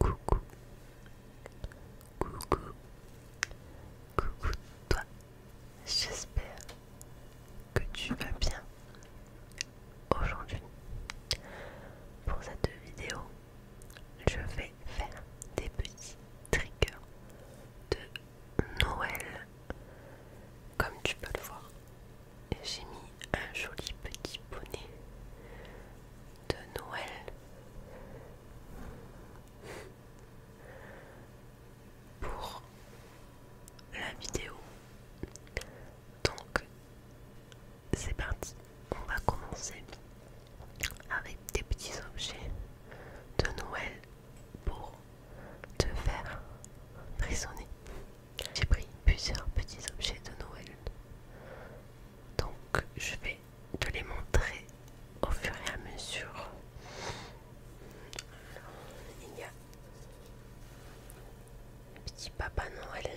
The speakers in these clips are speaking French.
Coucou, coucou, coucou toi. J'espère que tu vas bien aujourd'hui pour cette vidéo je vais faire des petits triggers de Noël comme tu peux le voir j'ai mis un joli petit bonnet de Noël pour la vidéo donc c'est parti, on va commencer avec des petits objets de Noël pour te faire frissonner. J'ai pris plusieurs petits objets de Noël. Donc je vais te les montrer au fur et à mesure. Il y a un petit Papa Noël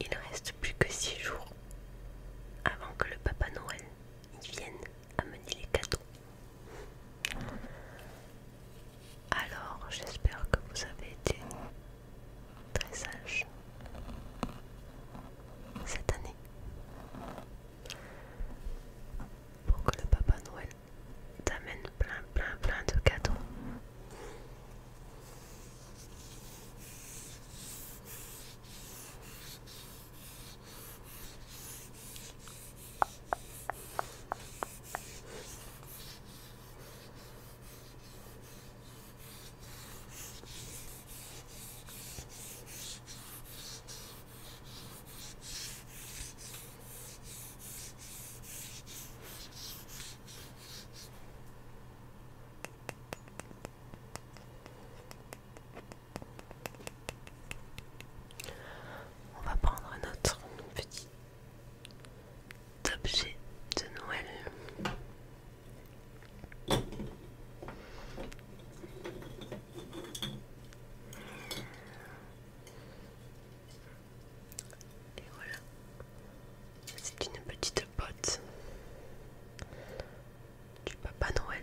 Il ne reste plus que six jours avant que le Papa Noël vienne amener les cadeaux. Alors, j'espère que vous avez été très sage cette année pour que le Papa Noël t'amène plein plein plein de cadeaux. On va prendre notre petit objet de Noël. Et voilà. C'est une petite pote du Papa Noël.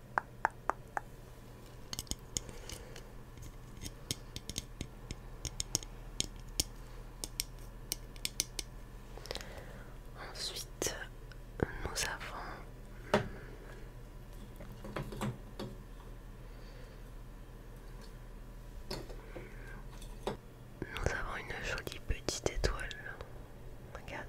Ensuite, nous avons nous avons une jolie petite étoile. Regarde.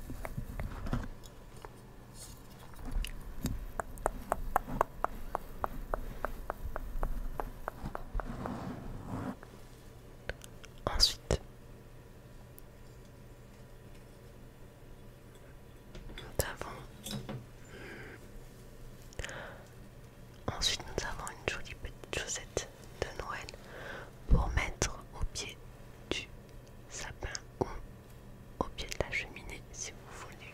Ensuite, nous avons... Ensuite, nous avons une jolie petite chaussette de Noël pour mettre au pied du sapin ou au pied de la cheminée si vous voulez.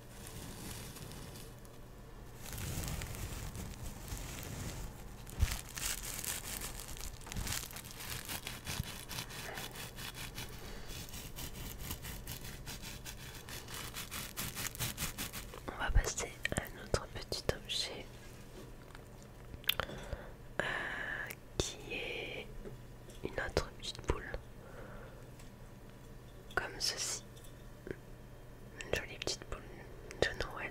On va passer à un autre petit objet euh, qui est une autre petite boule comme ceci une jolie petite boule de Noël.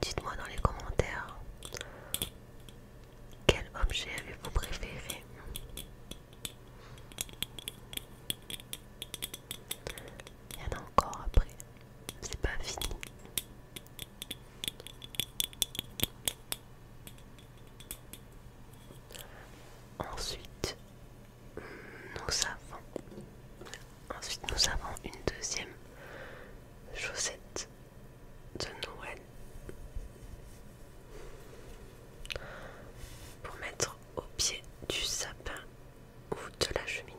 Dites-moi dans les commentaires quel objet avez-vous préféré Il y en a encore après, c'est pas fini. Ensuite, nous avons, ensuite nous avons une deuxième chaussette de Noël pour mettre au pied du sapin ou de la cheminée.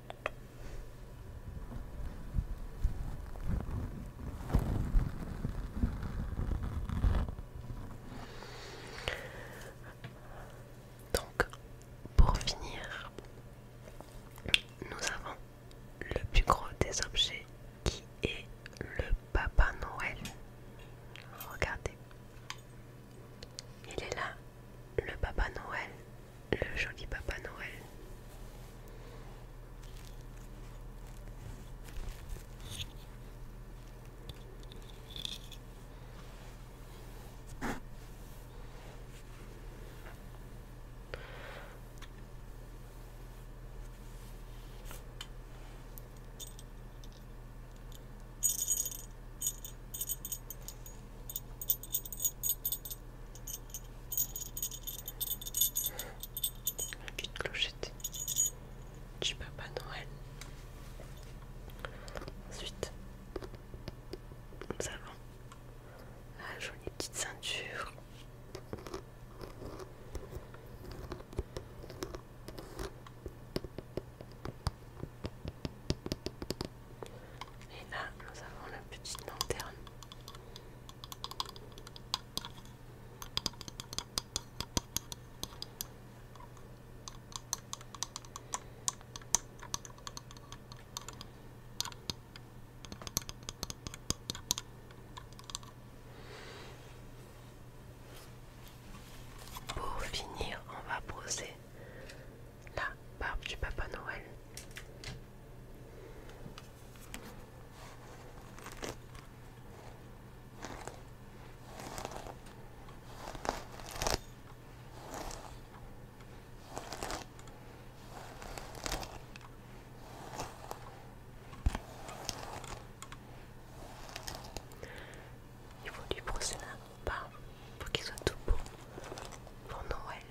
Donc, pour finir, nous avons le plus gros des objets qui est le Papa Noël. Regardez. Il est là, le Papa Noël le joli Papa Noël. La petite clochette du Papa Noël. Ensuite, nous avons la jolie petite ceinture. Et là, nous avons la petite lanterne. Pour finir, on va poser. La barbe du Papa Noël. Il faut lui brosser un pas pour qu'il soit tout beau pour Noël.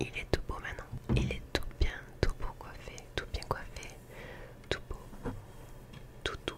Il est tout beau maintenant. Il est tout bien, tout beau coiffé, tout bien coiffé, tout beau, tout tout.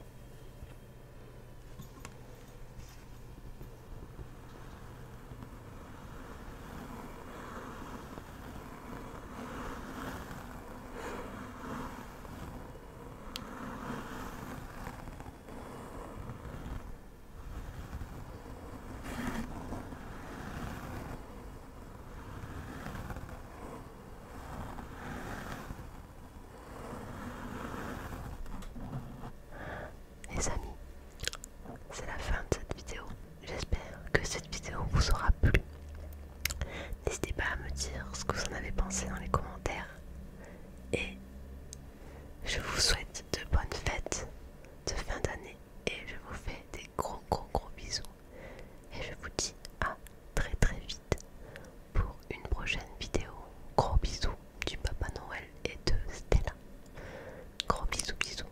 Les amis, c'est la fin de cette vidéo. J'espère que cette vidéo vous aura plu. N'hésitez pas à me dire ce que vous en avez pensé dans les commentaires. Et je vous souhaite de bonnes fêtes de fin d'année. Et je vous fais des gros gros gros bisous. Et je vous dis à très très vite pour une prochaine vidéo. Gros bisous du Papa Noël et de Stella. Gros bisous bisous.